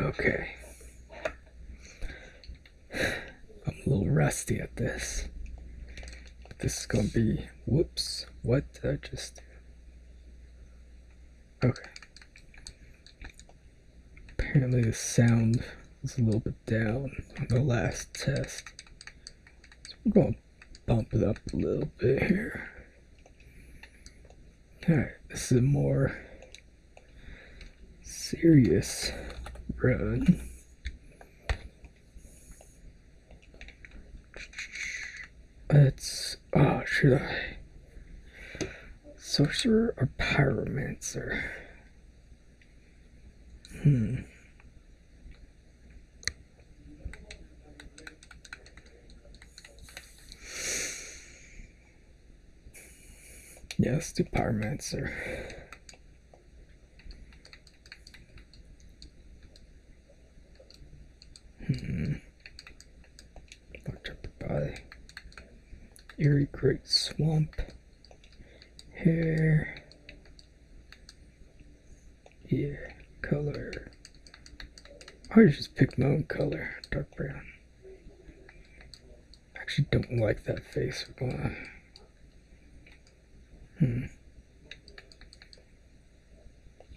Okay. I'm a little rusty at this. this is gonna be. Whoops. What did I just do? Okay. Apparently, the sound was a little bit down on the last test. So we're bump it up a little bit here. Alright, this is a more serious run. It's oh should I sorcerer or pyromancer? Hmm. Yes, the Pyromancer. Hmm. Locked up by Great Swamp. Here. Yeah, color. I just pick my own color, dark brown. actually don't like that face. Hmm.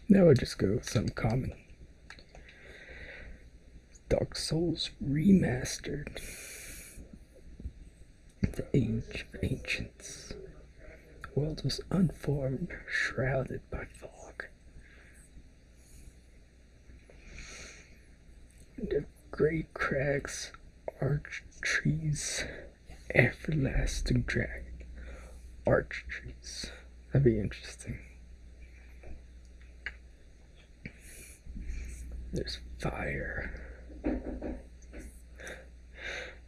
Now I just go with something common. Dark Souls Remastered. The Age of Ancients. The world was unformed, shrouded by fog. The great crags arch trees, everlasting drag, arch trees. That'd be interesting. There's fire.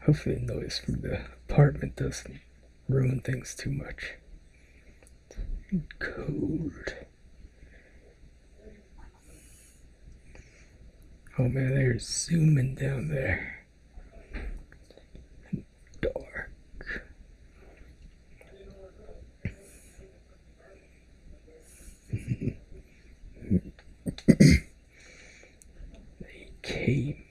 Hopefully, the noise from the apartment doesn't ruin things too much. Cold. Oh man, they're zooming down there. Dark. they came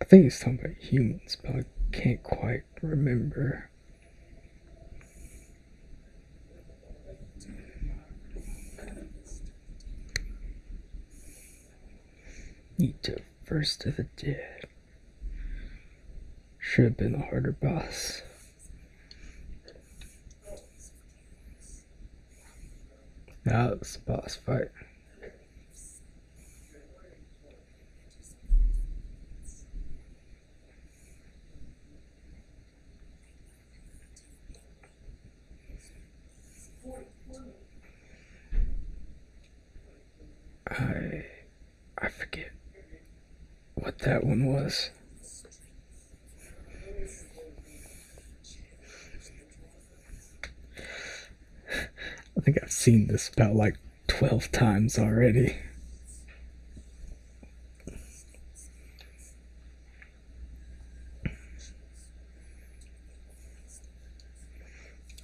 I think it's talking about humans, but I can't quite remember. Need to first of the dead. Should have been a harder boss. That it's boss fight. I I forget what that one was. I think I've seen this about like 12 times already.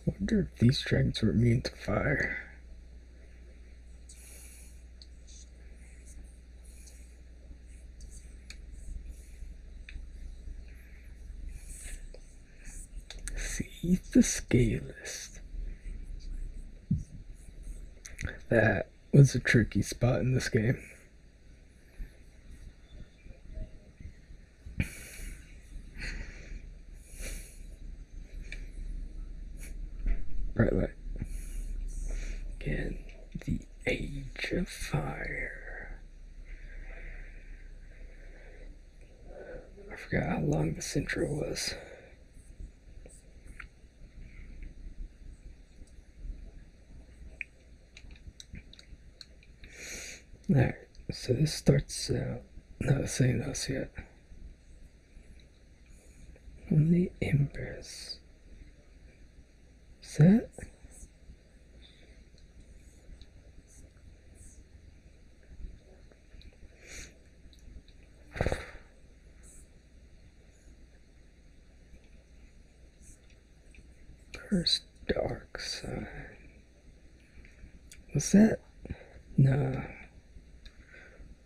wonder if these dragons were immune to fire. See the scale That was a tricky spot in this game. Right, Again, the Age of Fire. I forgot how long the intro was. Alright, so this starts out. No, it's saying us yet. Holy Empress. Set. First dark side. What's that? No.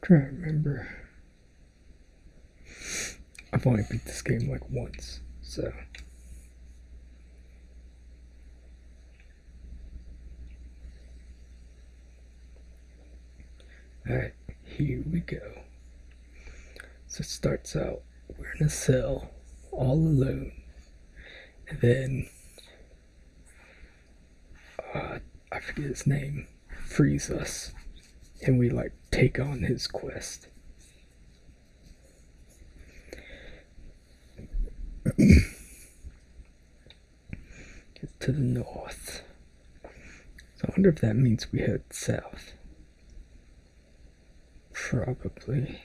trying to remember. I've only beat this game like once, so. Alright, here we go. So it starts out, we're in a cell, all alone, and then uh, I forget his name, frees us, and we like take on his quest. it's to the north. So I wonder if that means we head south. Probably.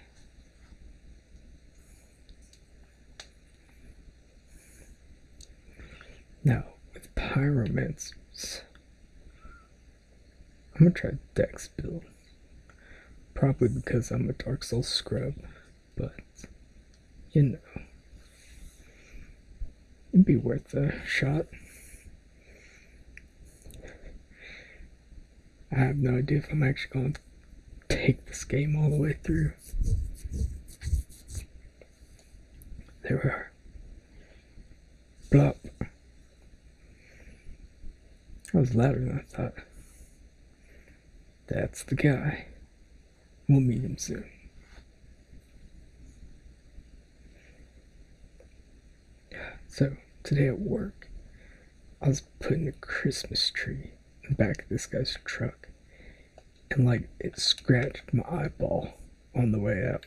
Now, with pyromancers, I'm gonna try Dex build. Probably because I'm a Dark Soul scrub, but you know, it'd be worth a shot. I have no idea if I'm actually going to take this game all the way through. There are Plop. That was louder than I thought. That's the guy. We'll meet him soon. So, today at work, I was putting a Christmas tree in back of this guy's truck and like it scratched my eyeball on the way out.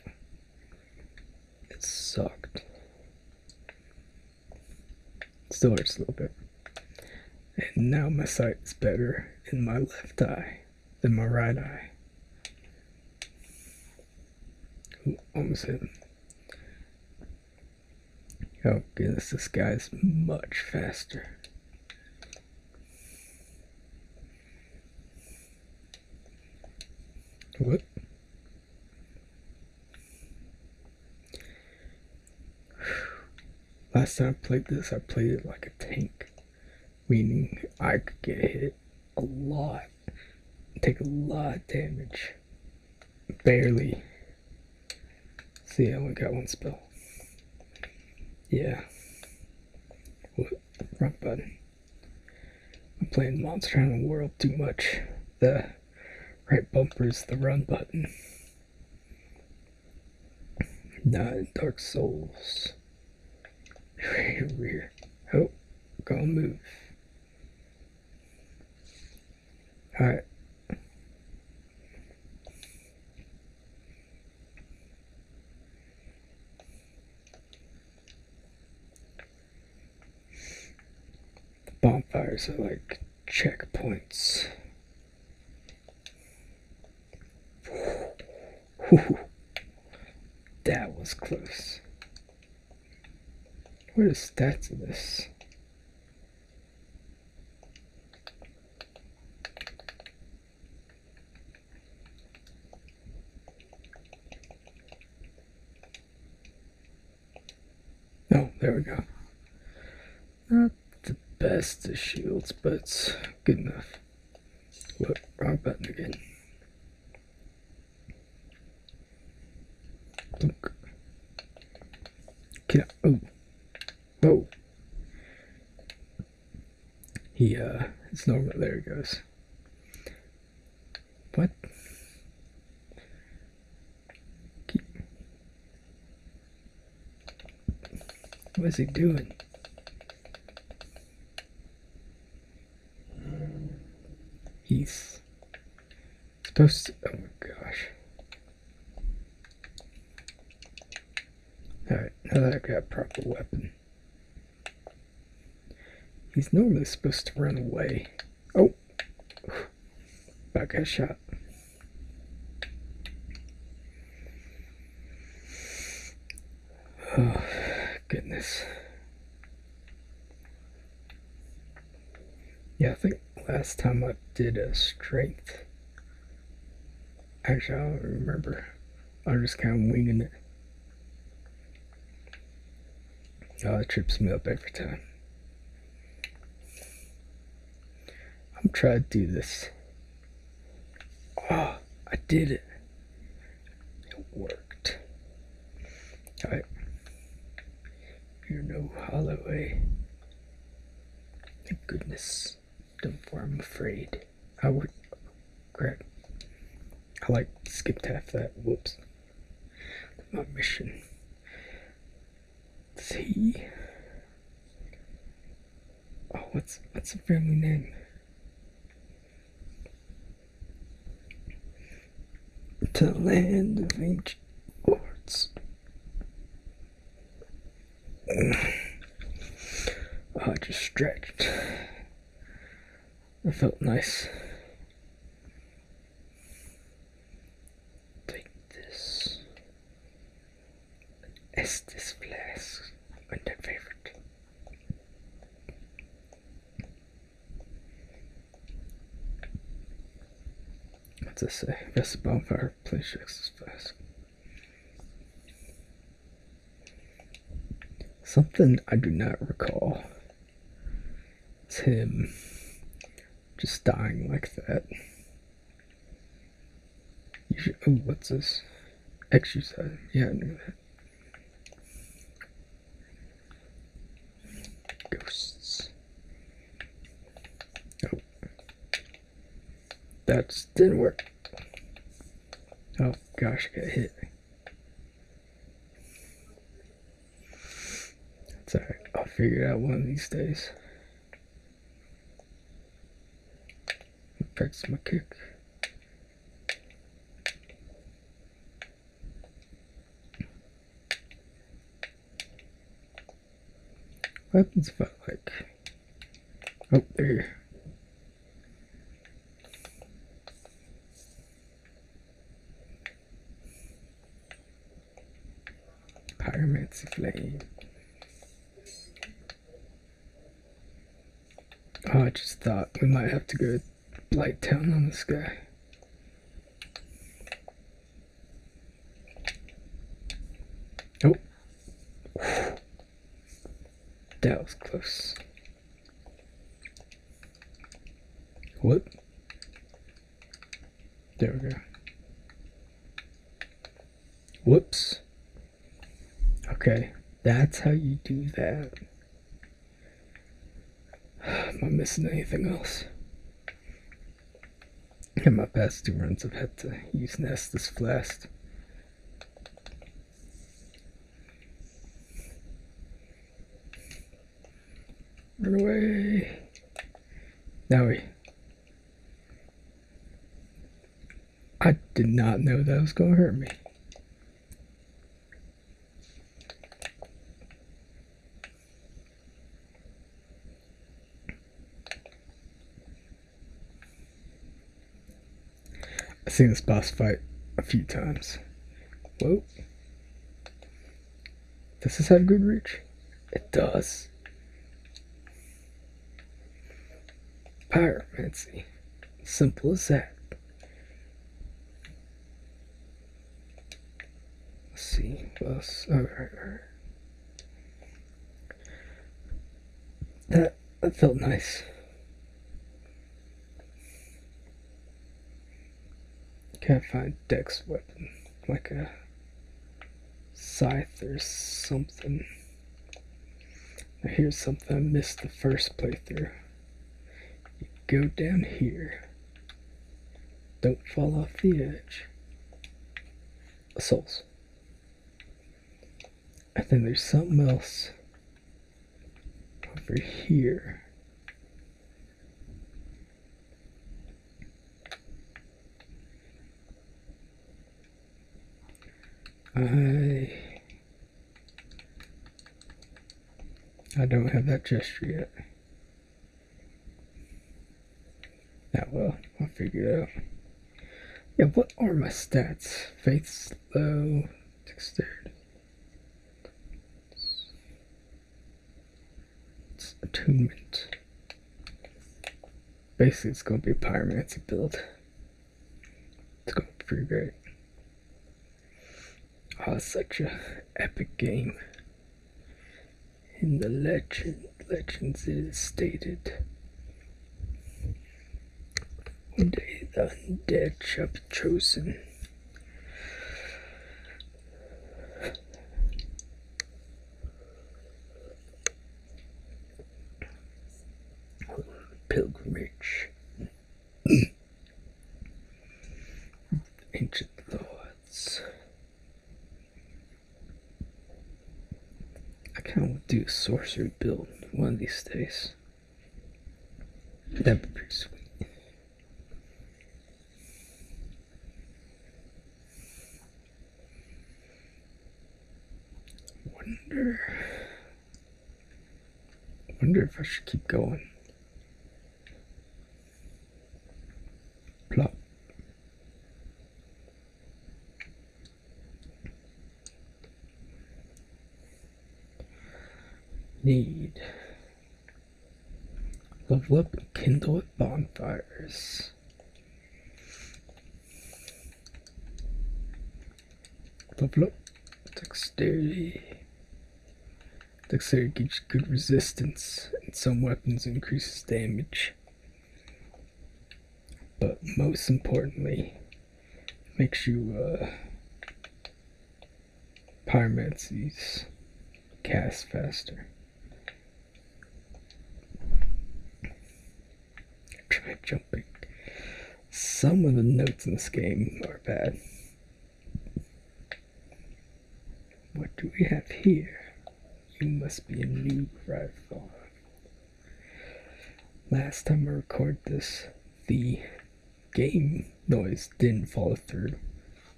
It sucked. Still hurts a little bit. And now my sight is better in my left eye than my right eye. Ooh, almost hit Oh goodness, this guy's much faster. What? Last time I played this, I played it like a tank, meaning I could get hit a lot, take a lot of damage, barely. See, I only got one spell. Yeah. What? Wrong button. I'm playing Monster in the World too much. The right bumper is the run button. Not Dark Souls. Rear. Oh, go move. Alright. Bonfires are like checkpoints. That was close. What are the stats of this? Oh, there we go. Not the best of shields, but good enough. What? Wrong button again. Look. Get out. Oh he uh it's normal there he goes What? what is he doing he's supposed to oh my gosh all right now that i've got proper weapon He's normally supposed to run away. Oh! I got shot. Oh, goodness. Yeah, I think last time I did a strength. Actually, I don't remember. I am just kind of winging it. Oh, it trips me up every time. I'm trying to do this. Oh, I did it. It worked. Alright. You're no Holloway. Thank goodness. Don't for I'm afraid. I would. Crap. I like skipped half that. Whoops. My mission. C. Oh, what's what's the family name? To land of ancient arts. I just stretched. That felt nice. Take this. Is this flask and their favorite? What's this say? Best bonfire, please check this flask. Something I do not recall. It's him just dying like that. oh, what's this? Exercise. Yeah, I knew that. Ghosts. Oh. That didn't work. Oh, gosh, I got hit. It's alright, I'll figure it out one of these days. Practice my kick. What happens if I like? Oh, there. Pyromancy Flame. Oh, I just thought we might have to go Light Town on this guy. Oh. That was close. What? There we go. Whoops. Okay, that's how you do that. Am I missing anything else? In my past two runs, I've had to use Nestus Flast. Run away. That way. I did not know that was going to hurt me. I've seen this boss fight a few times. Whoa. Does this have good reach? It does. Pyromancy. Simple as that. Let's see what else. Alright, oh, that felt nice. Can't find Dex weapon, like a scythe or something. Now here's something I missed the first playthrough. You go down here. Don't fall off the edge. Souls. I think there's something else over here. I I don't have that gesture yet. That will I'll figure it out. Yeah, what are my stats? Faith slow, dexterity. It's attunement. Basically, it's going to be a pyromancy build. It's going to be pretty great. Oh, such a epic game. In the legend, legends it is stated one day the undead shall be chosen. Pilgrimage. Ancient Lords. I kind of want to do a sorcery build one of these days. That'd be sweet. Wonder, wonder if I should keep going. Plop need level up kindle at bonfires. Level up dexterity. Dexterity gives good resistance, and some weapons increases damage. But most importantly, makes you uh, pyromancies cast faster. Try jumping. Some of the notes in this game are bad. What do we have here? You must be a new rival. Last time I recorded this, the game noise didn't follow through.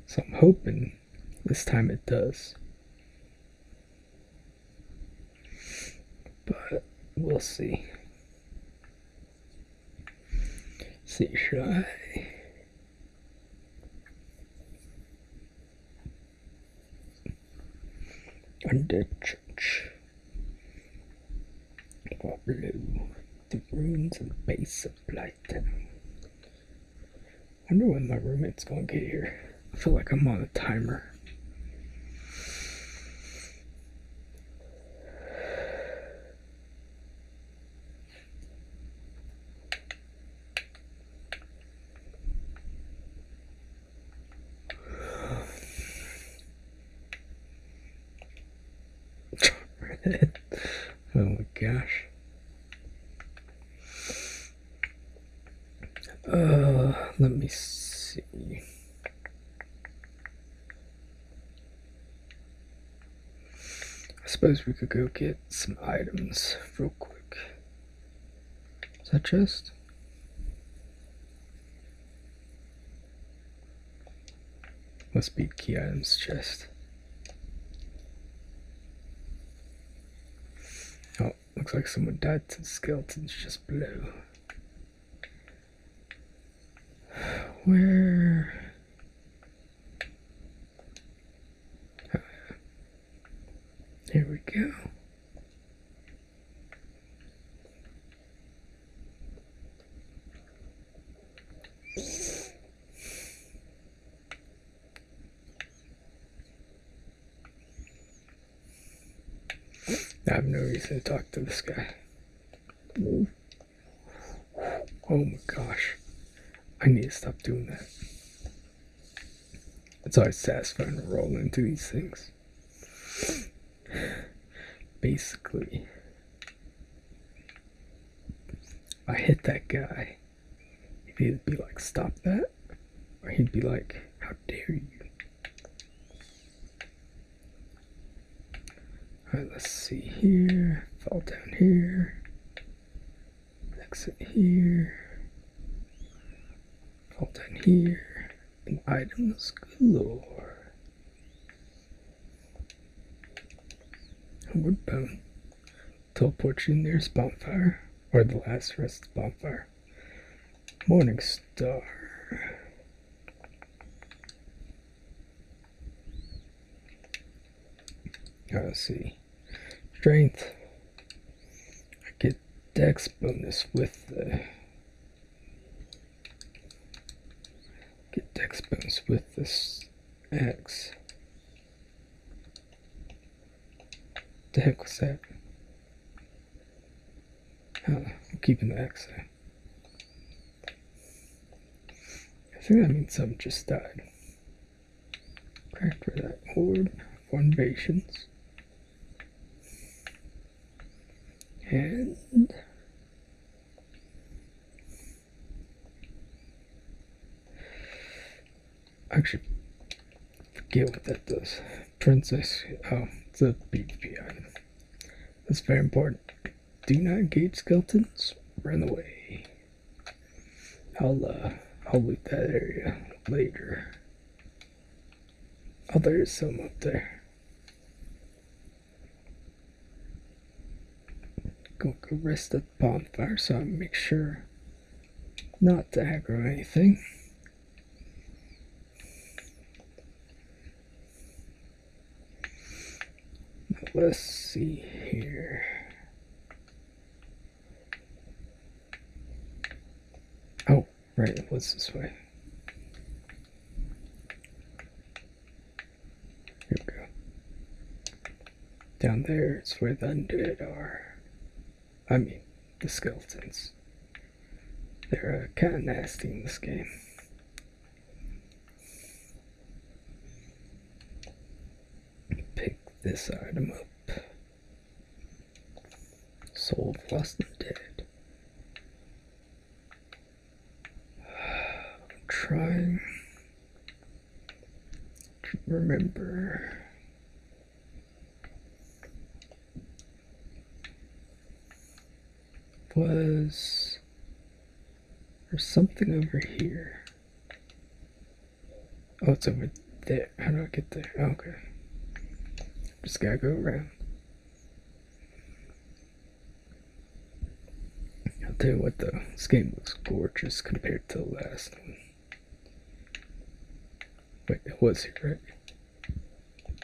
So I'm hoping this time it does. But we'll see. Let's see, should Under church or blue, the ruins and base of light. Wonder when my roommate's gonna get here. I feel like I'm on a timer. oh my gosh. Uh, let me see. I suppose we could go get some items real quick. Is that just? Must beat key items chest. Oh, looks like someone died to skeletons just below. Where? Here we go. I have no reason to talk to this guy. Oh my gosh. I need to stop doing that. It's always satisfying to roll into these things. Basically, I hit that guy, he'd be like, stop that, or he'd be like, how dare you. Alright, let's see here, fall down here, exit here, fall down here, and items galore. Wood boat teleportation nearest bonfire or the last rest bonfire. Morning star. Right, ah, let's see. Strength. I get dex bonus with the Get expense with this X. The heck was that? I'm keeping the X think that means something just died. Crack for that horde. Formations. And Actually, forget what that does. Princess, oh, it's a PvP item. That's very important. Do not engage skeletons. Run away. I'll uh, I'll loot that area later. Oh, there is some up there. Go Got arrested bonfire, so I make sure not to aggro anything. Let's see here. Oh, right, it was this way. Here we go. Down there is where the undead are. I mean, the skeletons. They're uh, kind of nasty in this game. Pick this item up. Soul of Lost and Dead. I'm trying to remember. Was there's something over here? Oh, it's over there. How do I get there? Oh, okay. Just gotta go around. I'll tell you what though, this game looks gorgeous compared to the last one. Wait, it here, right?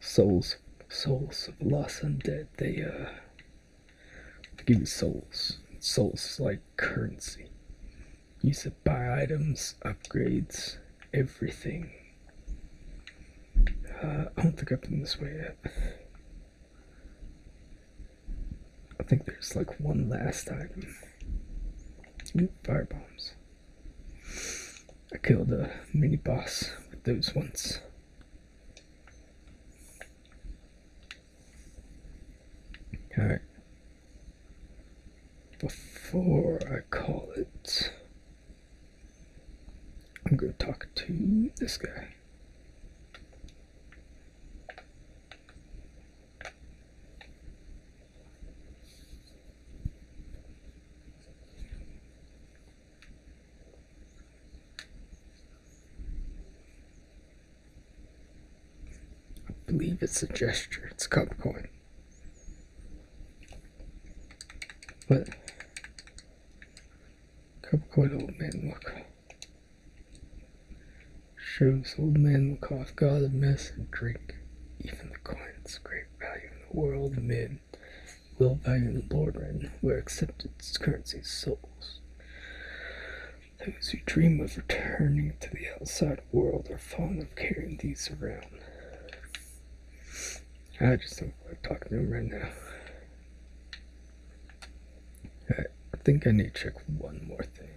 Souls, souls of lost undead, they uh, give you souls. Souls like currency. You can buy items, upgrades, everything. Uh, I don't think I've done this way yet. I think there's like one last item. fire bombs. I killed a mini boss with those once. Alright. Before I call it. I'm going to talk to this guy. I believe it's a gesture. It's a cup coin. But Capricorn Old Man Macross. Shows Old Man Macross, God a Mess and Drink. Even the coins, great value in the world, mid. Will value the Lord Ren, where accepted currency souls. Those who dream of returning to the outside world are fond of carrying these around. I just don't want to talk to him right now. I think I need to check one more thing.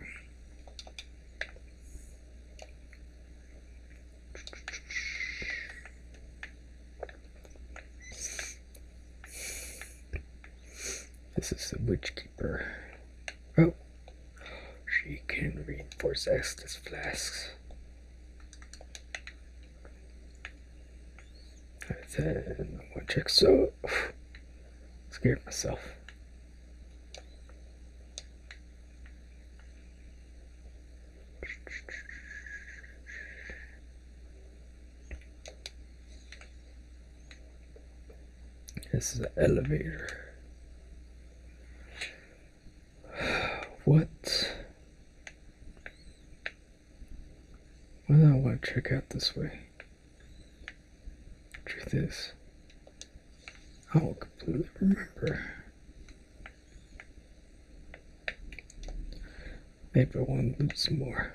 This is the Witch Keeper. Oh! She can reinforce Estus flasks. And then one check. So scared myself. This is an elevator. What why I want to check out this way? Truth is, I will completely remember. Maybe I want to loot some more.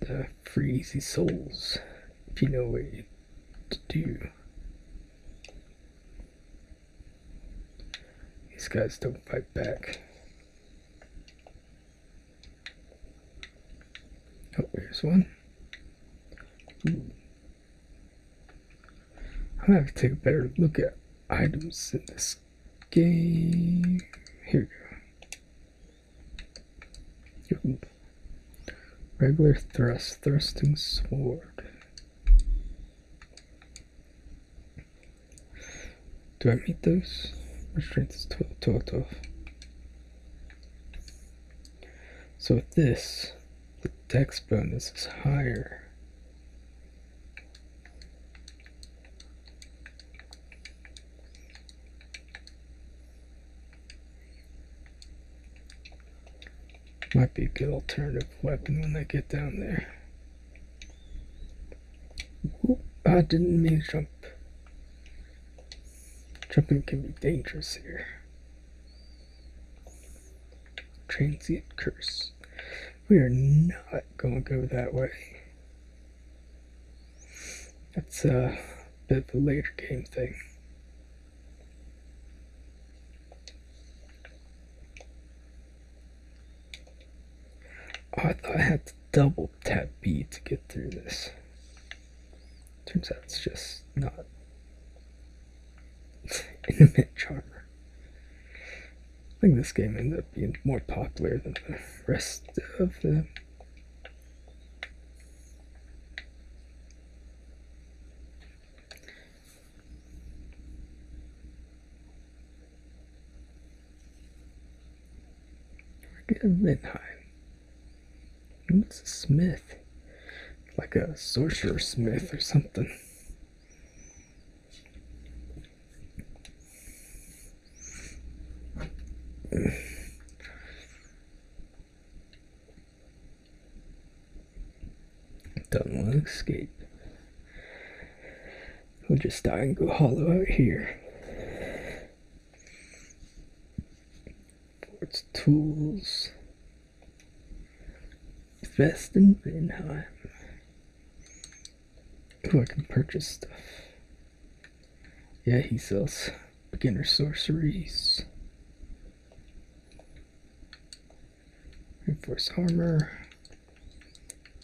The Freezy Souls, if you know what to do. These guys don't fight back. Oh, there's one. I'm gonna have to take a better look at items in this game. Here we go. Regular thrust, thrusting sword. Do I meet those? My strength is 12, 12, So with this, the dex bonus is higher. Might be a good alternative weapon when they get down there. Oop, I didn't mean to jump. Jumping can be dangerous here. Transient curse. We are not gonna go that way. That's a bit of a later game thing. I thought I had to double tap B to get through this. Turns out it's just not intimate charmer. I think this game ended up being more popular than the rest of the a Guggenheim. What's a smith? Like a sorcerer smith or something do not want to escape. we are just dying to go hollow out here. Fort's tools. Vest in Vinheim. Ooh, I can purchase stuff. Yeah, he sells beginner sorceries. Reinforced armor,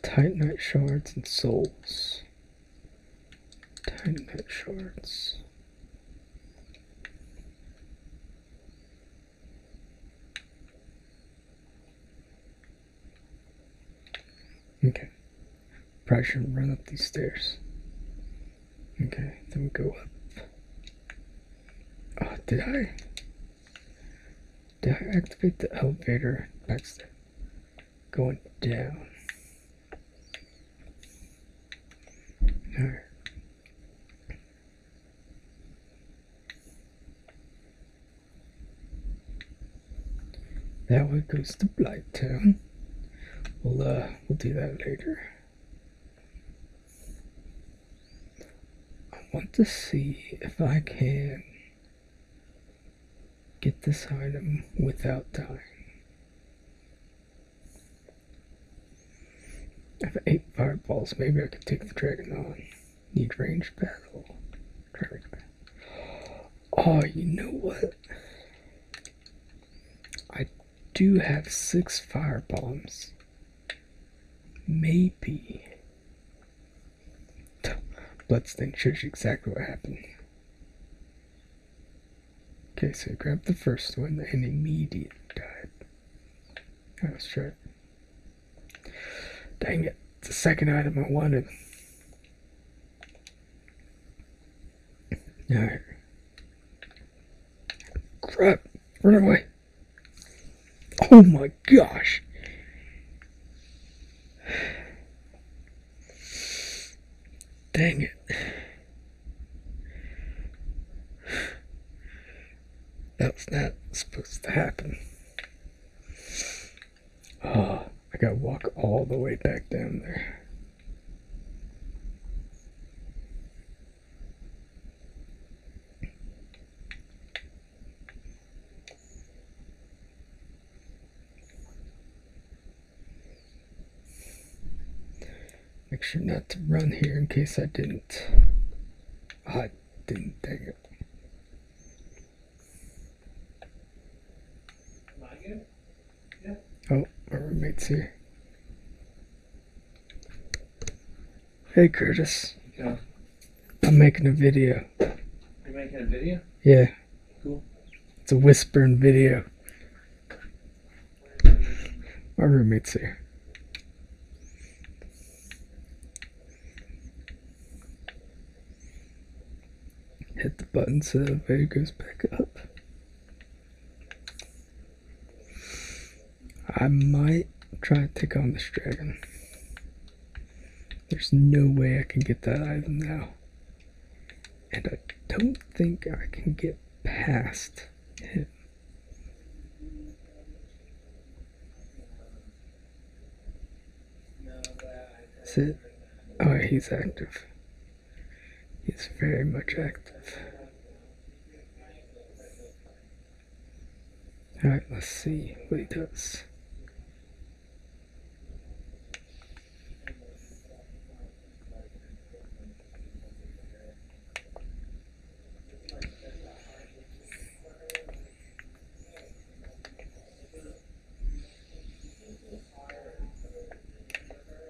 titanite shards, and souls. Titanite shards. Okay. Probably shouldn't run up these stairs. Okay, then we go up. Oh, did I? Did I activate the elevator? That's going down. Alright. That way goes to Blighttown. We'll uh, we'll do that later. I want to see if I can get this item without dying. I have eight fireballs, maybe I can take the dragon on. Need range battle. Oh, you know what? I do have six fireballs. Maybe. Let's shows you exactly what happened. Okay, so I grabbed the first one and immediately died. Let's try Dang it, the second item I wanted. Alright. Crap. Run away. Oh my gosh. Dang it. That's not supposed to happen. Oh, I gotta walk all the way back down there. Make sure not to run here in case I didn't. Ah, I didn't, dang it. Oh, my roommate's here. Hey Curtis. I'm making a video. you making a video? Yeah. Cool. It's a whispering video. My roommate's here. Hit the button so the video goes back up. I might try to take on this dragon. There's no way I can get that item now. And I don't think I can get past him. Is it? Oh, he's active. He's very much active. Alright, let's see what he does.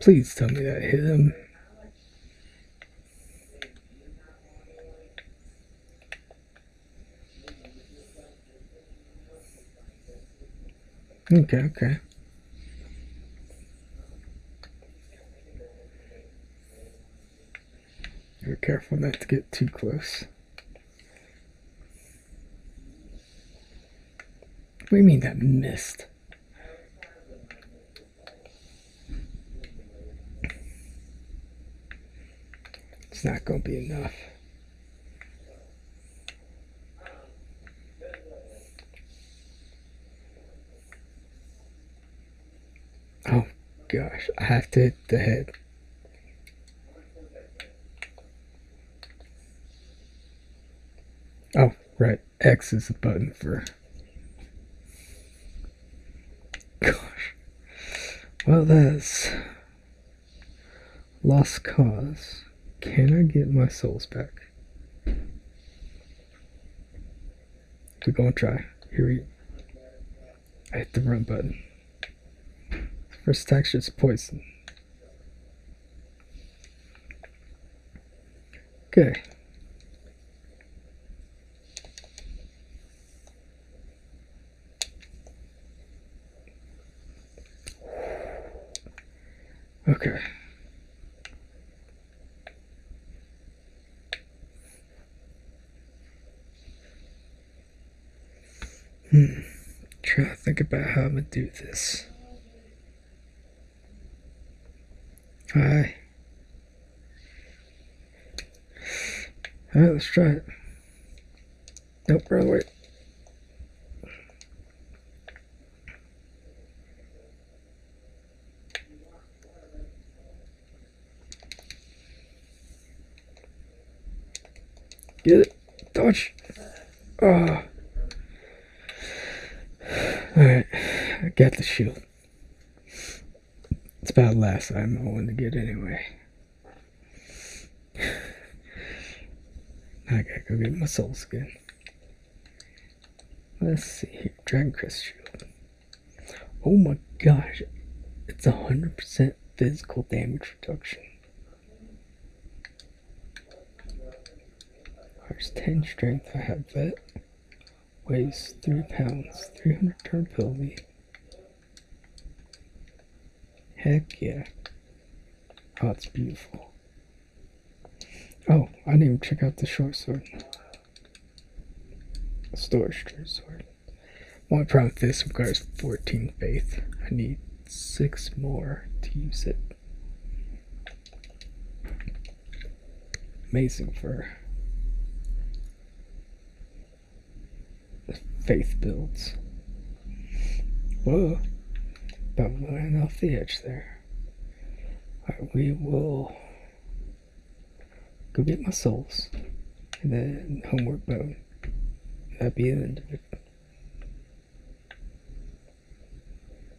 Please tell me that hit him. Okay, okay. Be careful not to get too close. What do you mean that missed? It's not going to be enough. Oh gosh, I have to hit the head. Oh, right, X is the button for Gosh. Well, there's Lost Cause. Can I get my souls back? We're gonna try. Here we. I hit the run button. First attack shit's poison. Okay. Okay. Hmm. Try to think about how I'm gonna do this. Hi. All right, let's try it. Nope, wrong way. Get it. Dodge. Ah. Alright. I got the shield. It's about last I am going to get anyway. I gotta go get my soul skin. Let's see here. Shield. Oh my gosh. It's 100% physical damage reduction. There's 10 strength. I have that weighs 3 pounds, 300 turn filmy. Heck yeah. That's oh, beautiful. Oh, I didn't even check out the short sword. Storage short sword. One problem with this regards 14 faith. I need six more to use it. Amazing for the faith builds. Whoa, but I'm off the edge there. Right, we will go get my souls and then homework bone. That'd be the end of it.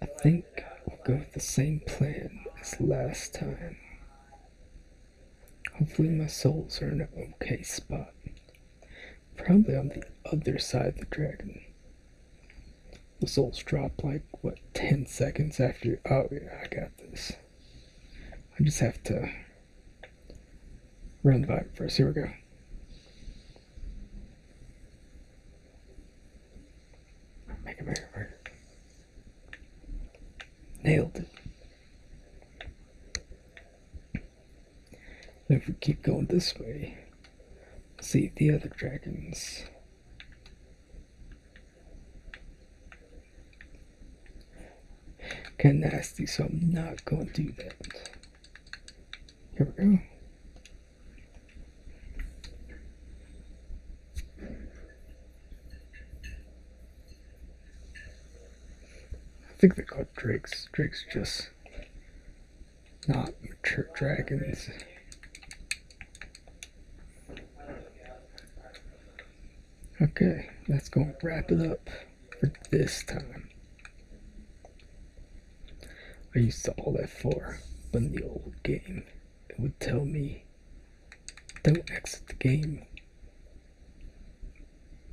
I think we'll go with the same plan as last time. Hopefully, my souls are in an okay spot. Probably on the other side of the dragon. The souls drop like, what, 10 seconds after Oh, yeah, I got this. I just have to run the vibe first. Here we go. Make a mirror verdict. Nailed it. If we keep going this way, see the other dragons. Kind nasty, so I'm not going to do that. Here we go. I think they call drakes. Drakes just not mature dragons. Okay, that's going to wrap it up for this time. I used to all that for in the old game it would tell me don't exit the game.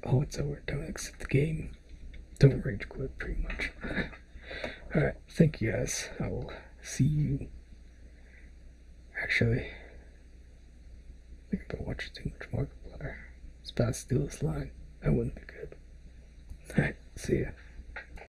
Oh, it's over. Don't exit the game. Don't rage quit, pretty much. Alright, thank you guys. I will see you. Actually, I think I've been watching too much Markiplier. It's about to steal this line. That wouldn't be good. Alright, see ya.